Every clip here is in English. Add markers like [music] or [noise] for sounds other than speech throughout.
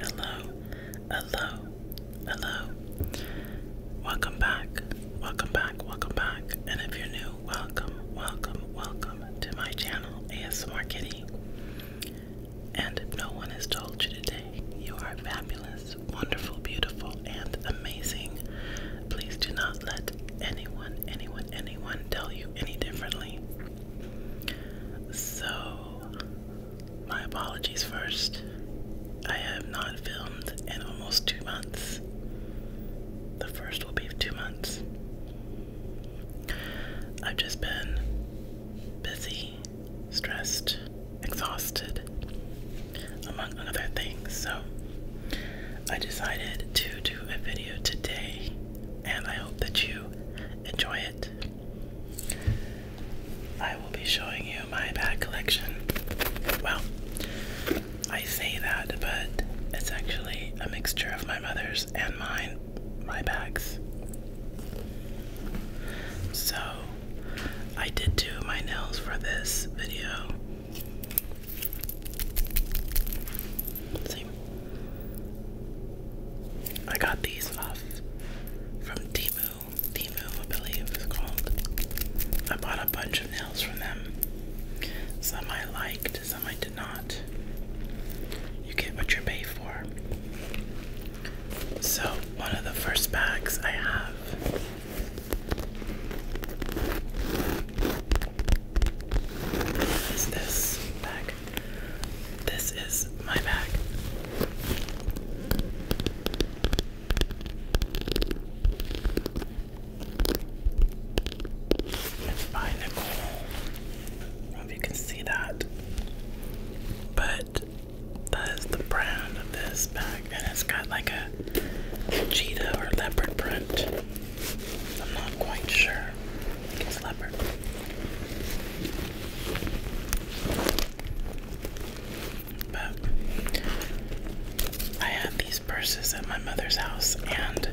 Hello, hello, hello. Welcome back, welcome back, welcome back. And if you're new, welcome, welcome, welcome to my channel, ASMR Kitty. And no one has told you today, you are fabulous, wonderful, beautiful, and amazing. Please do not let anyone, anyone, anyone tell you any differently. So, my apologies first. I have not filmed in almost two months. The first will be two months. I've just been busy, stressed, exhausted, among other things. So I decided to do a video today, and I hope that you enjoy it. I will be showing you my bag collection. Well, I say that, but it's actually a mixture of my mother's and mine, my bags. So, I did do my nails for this video. See? I got these off from Dimu. Dimu, I believe it's called. I bought a bunch of nails from them. Some I liked, some I did not. You get what you pay for. So, one of the first bags I have is this bag. This is my bag. It's by Nicole. I don't know if you can see that. But that is the brand of this bag, and it's got like a cheetah or leopard print. I'm not quite sure. it's leopard. But I had these purses at my mother's house, and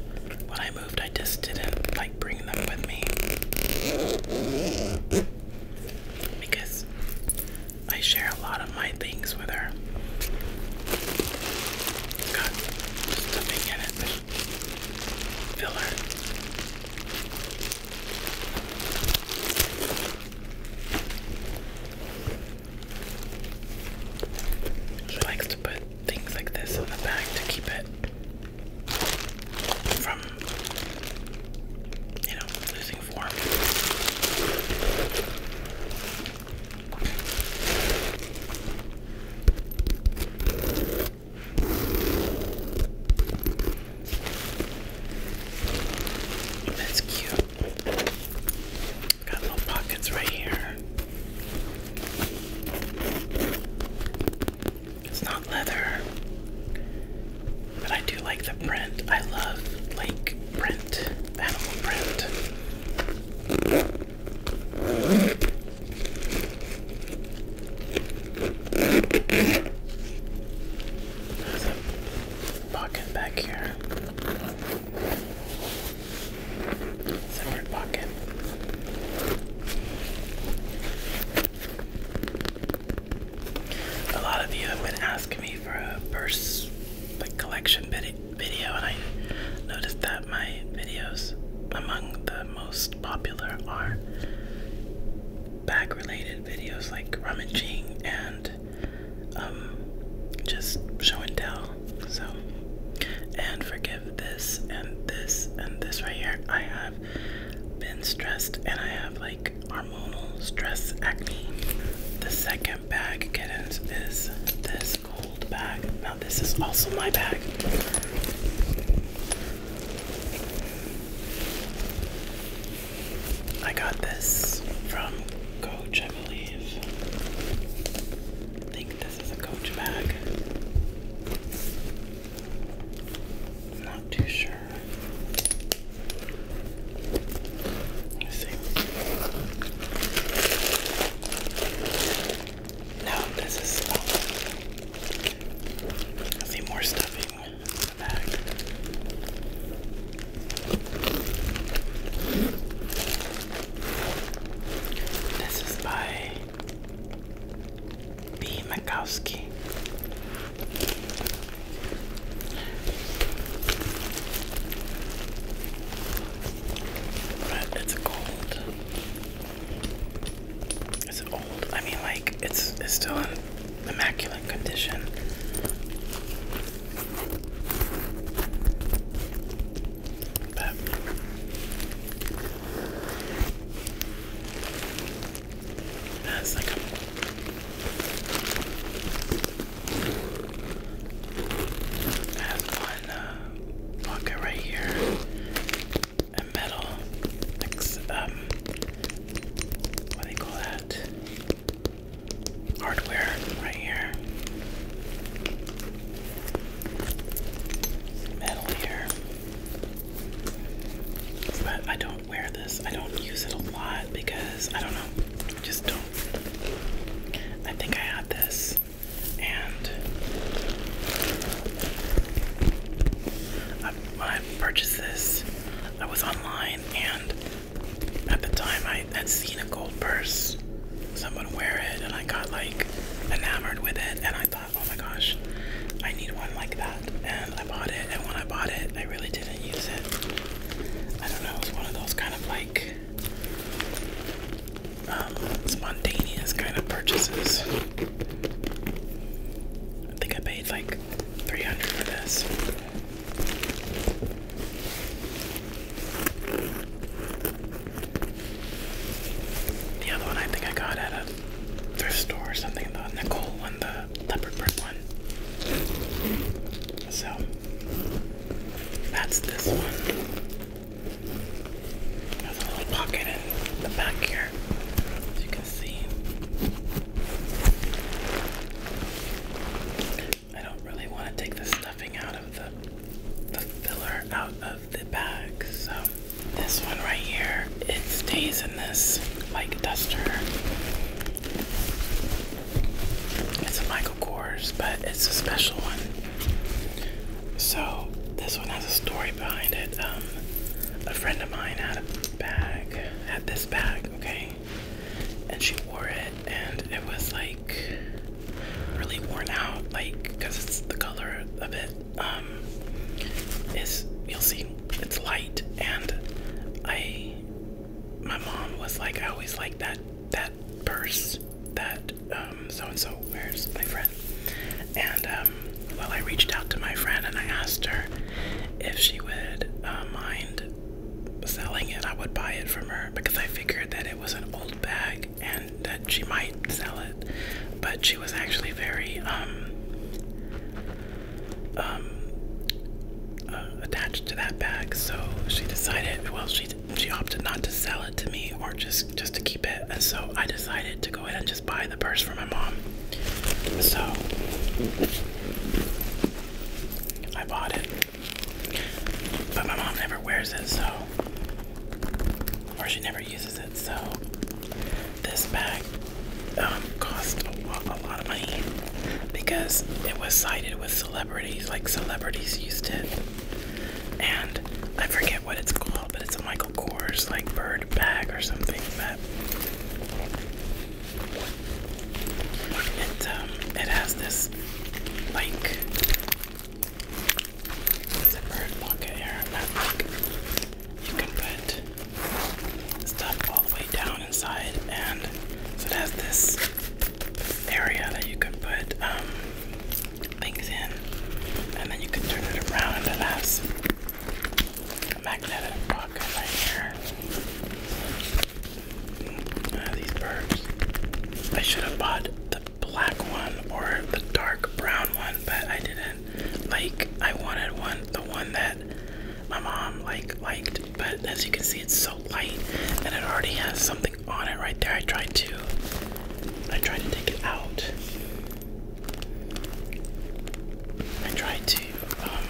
when I moved, I just didn't like bring them with me because I share a lot of my things with her. Got stuffing in it filler. She likes to put things like this in the bag to keep it from, you know, losing form. That's cute. Got little pockets right here. It's not leather, but I do like the print. I love like print, animal print a pocket back here. Separate pocket. A lot of you have been asking me for a purse like collection video, and I noticed that my videos among the most popular are bag related videos like rummaging and um, just show and tell. So, and forgive this and this and this right here. I have been stressed and I have like hormonal stress acne. The second bag, kittens, is this gold bag. Now, this is also my bag. I got this from Coach, I believe. think this is a Coach bag. I'm not too sure. Let's see. No, this is. Oh. I see more stuffing in the back. This is by B. Makowski. But it's cold. It's old. I mean, like it's it's still in immaculate condition. But that's like a I have one uh, right here metal, um, what do they call that? Hardware right here. Metal here. But I don't wear this. I don't use it a lot because I don't know. I just don't. I think I had this and I, purchased this, I was online, and at the time I had seen a gold purse, someone wear it, and I got like enamored with it, and I thought, oh my gosh, I need one like that, and I bought it, and when I bought it, I really didn't use it. I don't know, it was one of those kind of like um, spontaneous kind of purchases. I think I paid like 300 for this. The other one I think I got at a thrift store or something, the nickel one, the leopard print one. So that's this one. There's a little pocket in the back here, as you can see. I don't really want to take the stuffing out of the the filler out of the bag, so this one right here, it stays in this like duster. It's a Michael Kors, but it's a special one. So this one has a story behind it. Um, a friend of mine had a bag, had this bag, okay, and she wore it, and it was like really worn out, like because it's the color of it. Um, you'll see it's light, and I, my mom was like, I always like that that purse that um, so and so where's my friend and um, well I reached out to my friend and I asked her if she would uh, mind selling it I would buy it from her because I figured that it was an old bag and that she might sell it but she was actually very um, um, uh, attached to that bag so she decided well she she opted not to sell it to me or just just to keep it, and so I decided to go ahead and just buy the purse for my mom. So I bought it, but my mom never wears it, so or she never uses it. So this bag um, cost a lot, of money because it was cited with celebrities, like celebrities used it, and I forget what it's called but it's a Michael Kors like bird bag or something. But it um, it has this like it's bird pocket here. Like, you can put stuff all the way down inside, and so it has this area that you can put um, things in, and then you can turn it around, and it has a magnetic pocket right here. these birds. I should have bought the black one or the dark brown one, but I didn't. Like I wanted one, the one that my mom like liked, but as you can see, it's so light, and it already has something on it right there. I tried to I tried to take it out. I tried to um,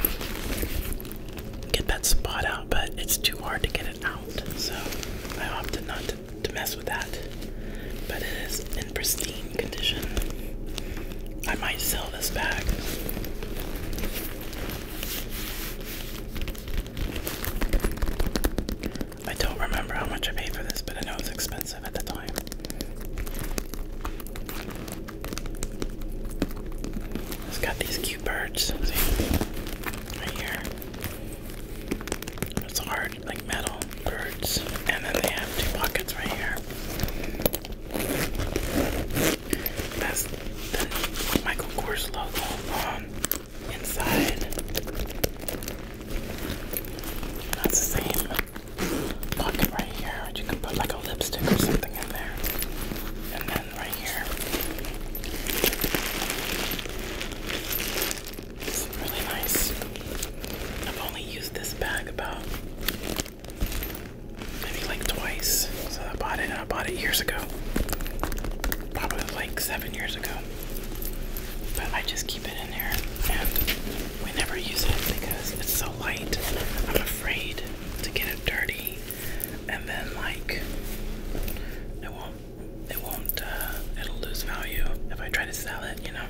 get that spot out, but it's too hard to get it out. So I opted not to mess with that. But it is in pristine condition. I might sell this bag. I don't remember how much I paid for this, but I know it was expensive at the time. It's got these cute birds, Right here. It's hard, like metal birds. And then they have two pockets right here. That's the Michael Kors logo inside. That's the same pocket right here, you can put like a lipstick or something in there. And then right here. It's really nice. I've only used this bag about maybe like twice. So I bought it. I bought it years ago. Probably like seven years ago. But I just keep it in there and we never use it because it's so light. I'm afraid to get it dirty and then like it won't it won't uh, it'll lose value if I try to sell it, you know.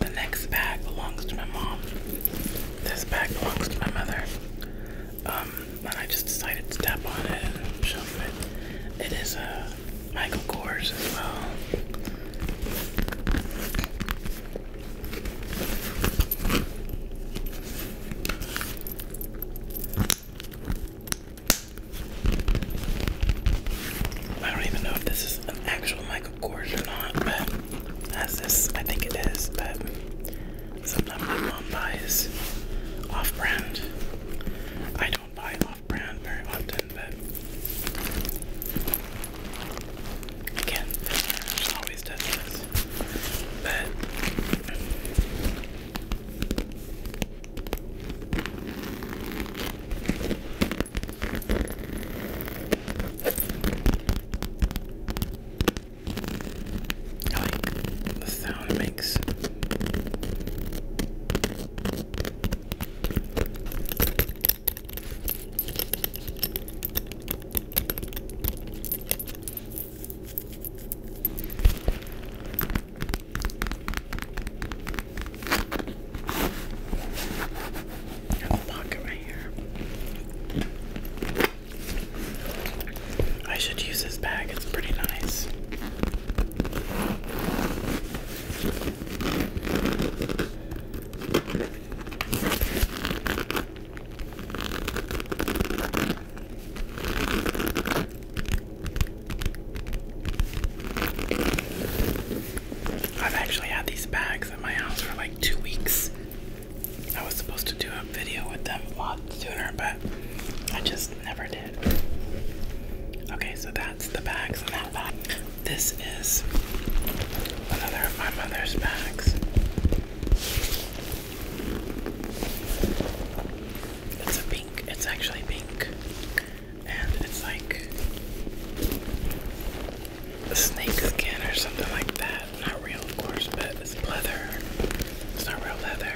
The next bag belongs to my mom. This bag belongs to my mother. Um, and I just decided to step on it and shove it. It is a Michael Kors as well. I don't even know if this is an actual Michael Kors or not, but as this, I think it is, but sometimes my mom buys off brand. I don't buy off brand very often, but again, Visitors always does this. But like the sound it makes. I'll lock it right here. I should use this bag, it's pretty nice. I've actually had these bags at my house for like two weeks. I was supposed to do a video with them a lot sooner, but I just never did. Okay, so that's the bags and that bag. This is another of my mother's bags. It's a pink, it's actually pink. And it's like a snake skin or something like that. Not real, of course, but it's leather. It's not real leather.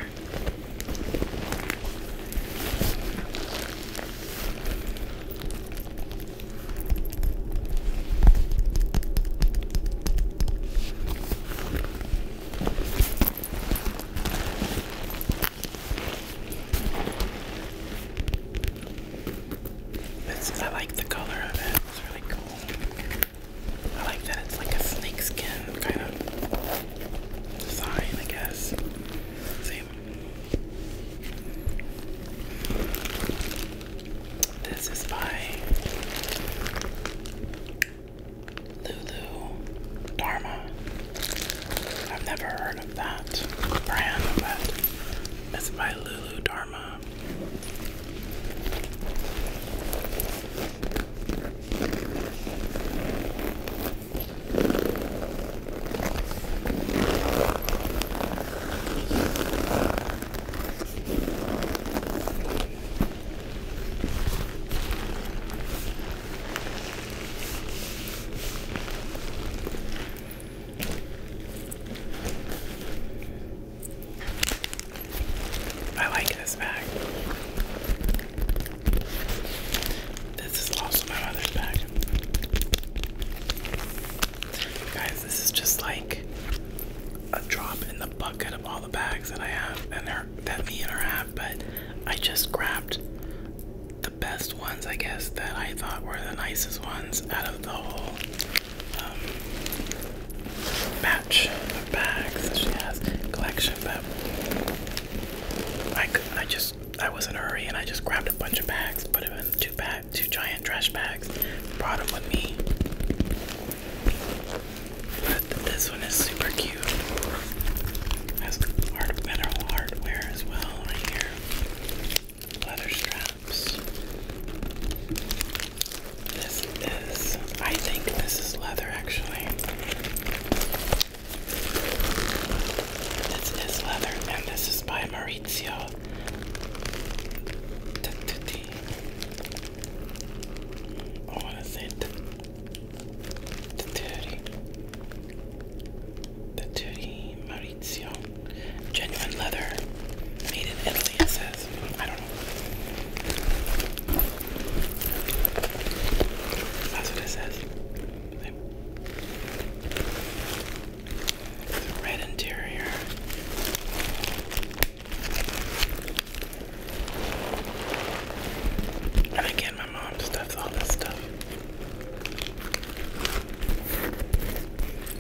I like the color of it. It's really cool. I like that it's like a snake skin kind of sign, I guess. See? This is by Lulu Dharma. I've never heard of that brand, but it's by Lulu Dharma. I like this bag. This is lost in my mother's bag. Guys, this is just like a drop in the bucket of all the bags that I have and her, that me and her have, but I just grabbed the best ones, I guess, that I thought were the nicest ones out of the whole um, batch of bags that collection of that. Like I just I was in a hurry and I just grabbed a bunch of bags, put them in two bag, two giant trash bags, brought them with me. But this one is super cute. Has hard metal hardware as well right here. Leather straps. This this. I think this is leather, actually. This is leather, and this is by Maurizio Tattuti. Oh, what is it? Tattuti. Genuine leather. Made in Italy, it says. I don't know. That's what it says. red interior. And again, my mom stuffs all this stuff.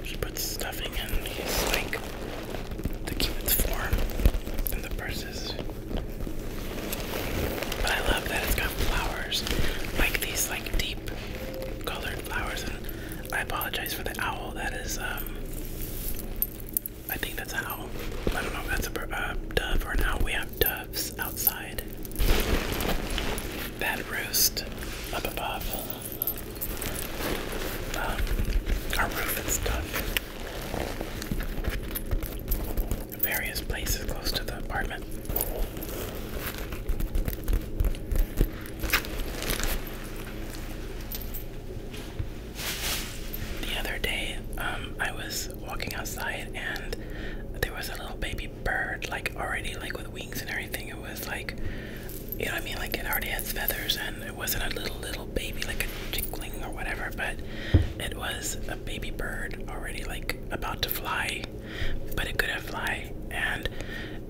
She puts stuffing in his like to keep its form in the purse. But I love that it's got flowers, like these like deep colored flowers. And I apologize for the owl. That is, um, I think that's an owl. I don't know if that's a dove or an owl. We have doves outside. That roost up above um, our roof and stuff various places close to the apartment. The other day, um, I was walking outside and there was a little baby bird, like already like with wings and everything. It was like, you know what I mean? Like it already has feathers and it wasn't a little little baby like a chickling or whatever, but it was a baby bird already like about to fly, but it couldn't fly, and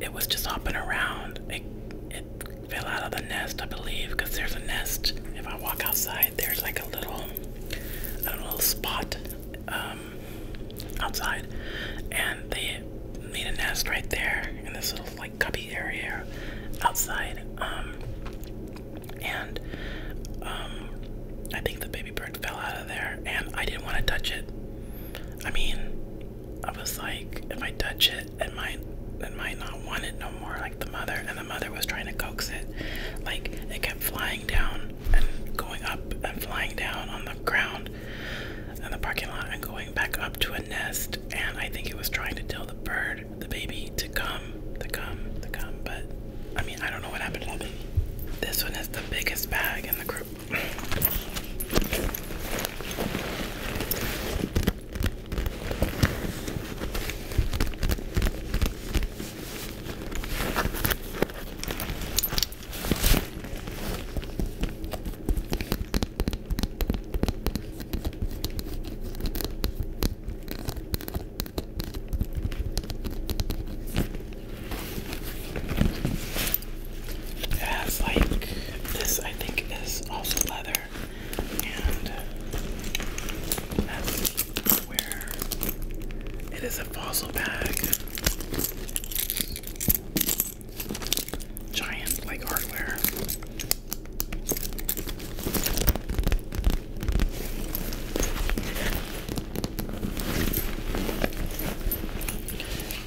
it was just hopping around. It, it fell out of the nest, I believe, because there's a nest. If I walk outside, there's like a little, a little spot um, outside, and they made a nest right there in this little like cubby area outside. Um, and um, I think the baby bird fell out of there, and I didn't want to touch it. I mean, I was like, if I touch it, it might, it might not want it no more, like the mother. And the mother was trying to coax it, like it kept flying down and going up and flying down on the ground in the parking lot and going back up to a nest. And I think it was trying to tell the bird the baby, to come, to come, to come, but I mean, I don't know what happened to that This one is the biggest bag in the group. It like this, I think, is also leather, and that's where it is a fossil bag. Giant like hardware.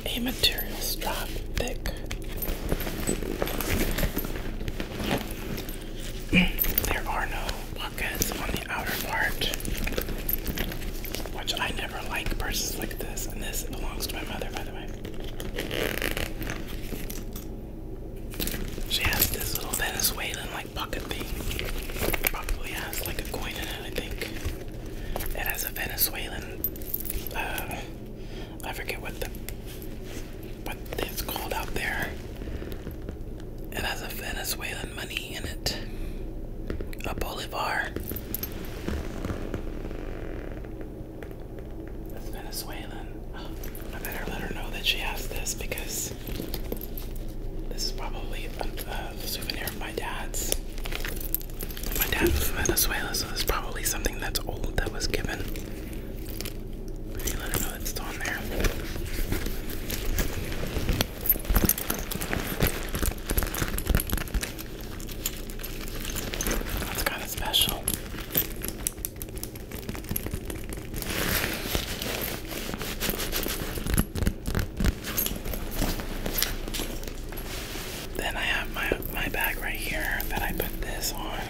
A material strap, thick. [clears throat] there are no pockets on the outer part, which I never like purses like this, and this belongs to my mother, by the way. She has this little Venezuelan like bucket thing. Probably has like a coin in it, I think. It has a Venezuelan uh, I forget what the what it's called out there. It has a Venezuelan money in it. A bolivar. That's Venezuelan. I better let her know that she has this because this is probably a, souvenir of my dad's. My dad was from Venezuela, so it's probably something that's old that was given. let her know it's on there. That's kind of special. Then I have my my bag right here that I put this on.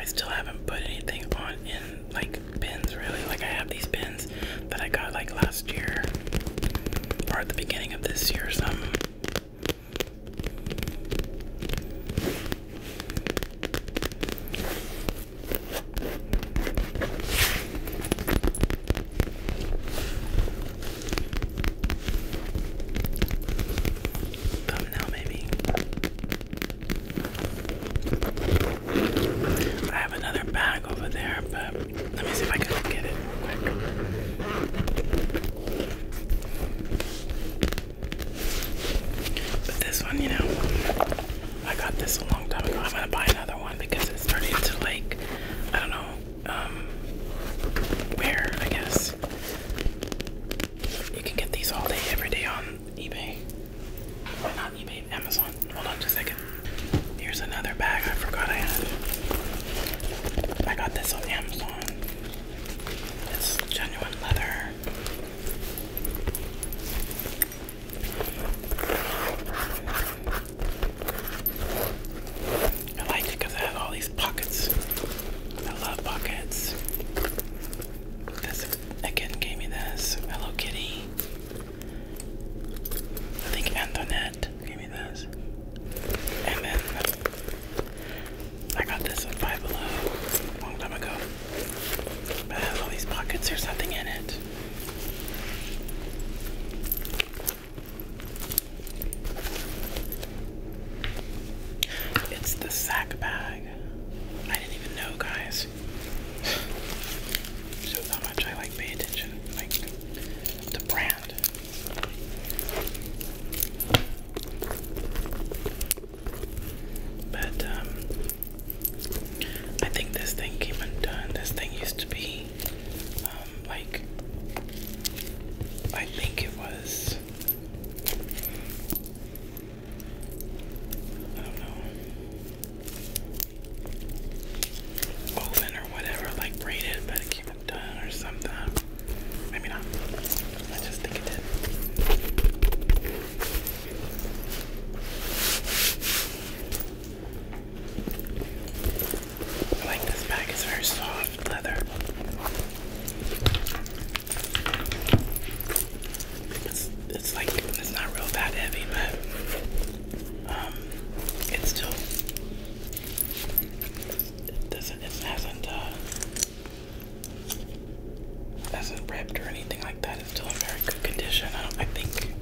I still haven't put anything on in like pins really. Like I have these pins that I got like last year or at the beginning of this year, some. Thumbnail, maybe. I have another bag over there, but let me see if I can get it real quick. But this one, you know, I got this a long time ago. I'm gonna buy another one because it's starting to like, I don't know, um, wear, I guess. You can get these all day, every day on eBay. Why Amazon. Hold on just a second. Here's another bag I forgot I had. I got this on Amazon. It's genuine leather. I like it because it has all these pockets. I love pockets. This again gave me this Hello Kitty I think Antoinette gave me this. And then I got this at Five Below a long time ago. it has all these pockets or something in it. It's the sack bag. I didn't even know, guys is so how much I like pay attention, like the brand. But um, I think this thing came undone. This thing used to be um, like I think it was. I don't know woven or whatever, like braided, but it came undone or something. Maybe not. I just think it did. I like this bag, it's very soft leather. It's, it's like, it's not real that heavy, but um, it's still it doesn't it hasn't uh, hasn't ripped or anything like that. It's still in very good condition. I I think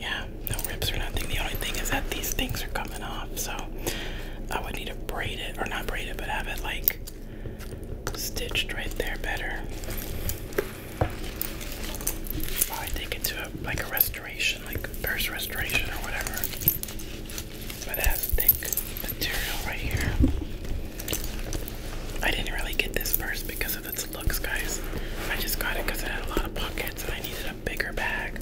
yeah, no rips or nothing. The only thing is that these things are coming off, so I would need to braid it or not braid it but have it like stitched right there better. Probably take it to like a restoration, like first restoration or whatever. But it has thick material right here. I didn't really get this purse because of its looks, guys. I just got it because it had a lot of pockets and I needed a bigger bag.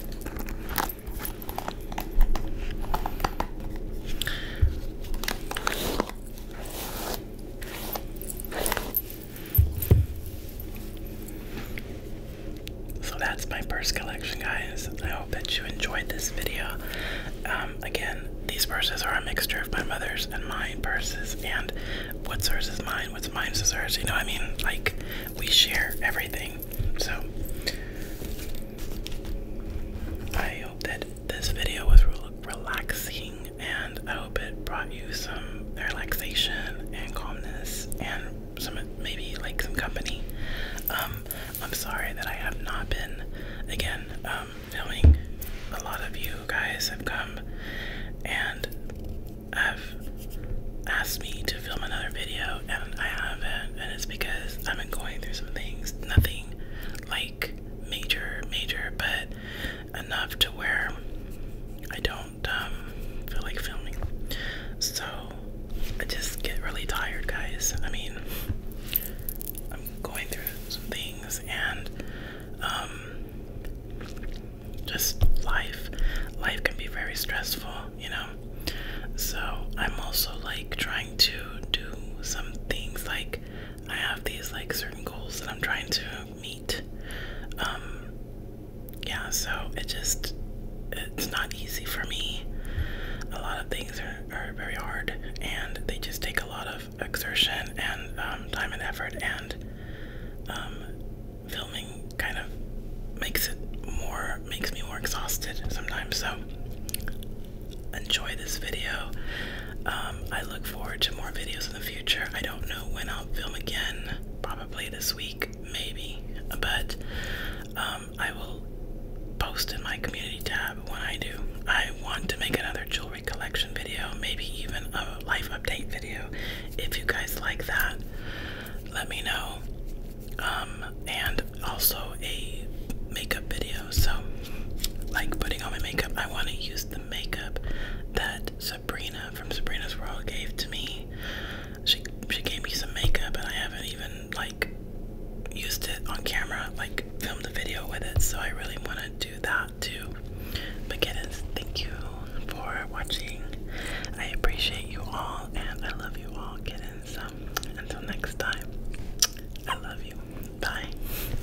So that's my purse collection, guys. I hope that you enjoyed this video. Um, again, these purses are a mixture of my mother's and my purses, and what's hers is mine, what's mine is hers. You know I mean? Like, we share everything. So, I hope that this video was relaxing and I hope it brought you some relaxation and calmness and some maybe like some company. Um, I'm sorry that I have not been again filming. Um, a lot of you guys have come and have asked me to film another video, and I haven't, and it's because I've been going through some things. Nothing like major, major, but enough to where I don't um, feel like filming. So I just get really tired, guys. I mean, I'm going through some things and um, just life. Life can be very stressful, you know. So I'm also like trying to do some things like I have these like certain goals that I'm trying to meat. Um, yeah, so it just it's not easy for me. A lot of things are, are very hard, and they just take a lot of exertion and um, time and effort. And um, filming kind of makes it more makes me more exhausted sometimes. So enjoy this video. I look forward to more videos for the future. I don't know when I'll film again. Probably this week, maybe. But um, I will post in my community tab when I do. I want to make another jewelry collection video, maybe even a life update video. If you guys like that, let me know. Um, and also a makeup video. So, like putting on my makeup, I want to use the makeup that Sabrina from Sabrina's World gave to me. She she gave me some makeup and I haven't even like used it on camera, like filmed a video with it. So I really want to do that too. But kittens, thank you for watching. I appreciate you all and I love you all, kittens. until next time, I love you. Bye.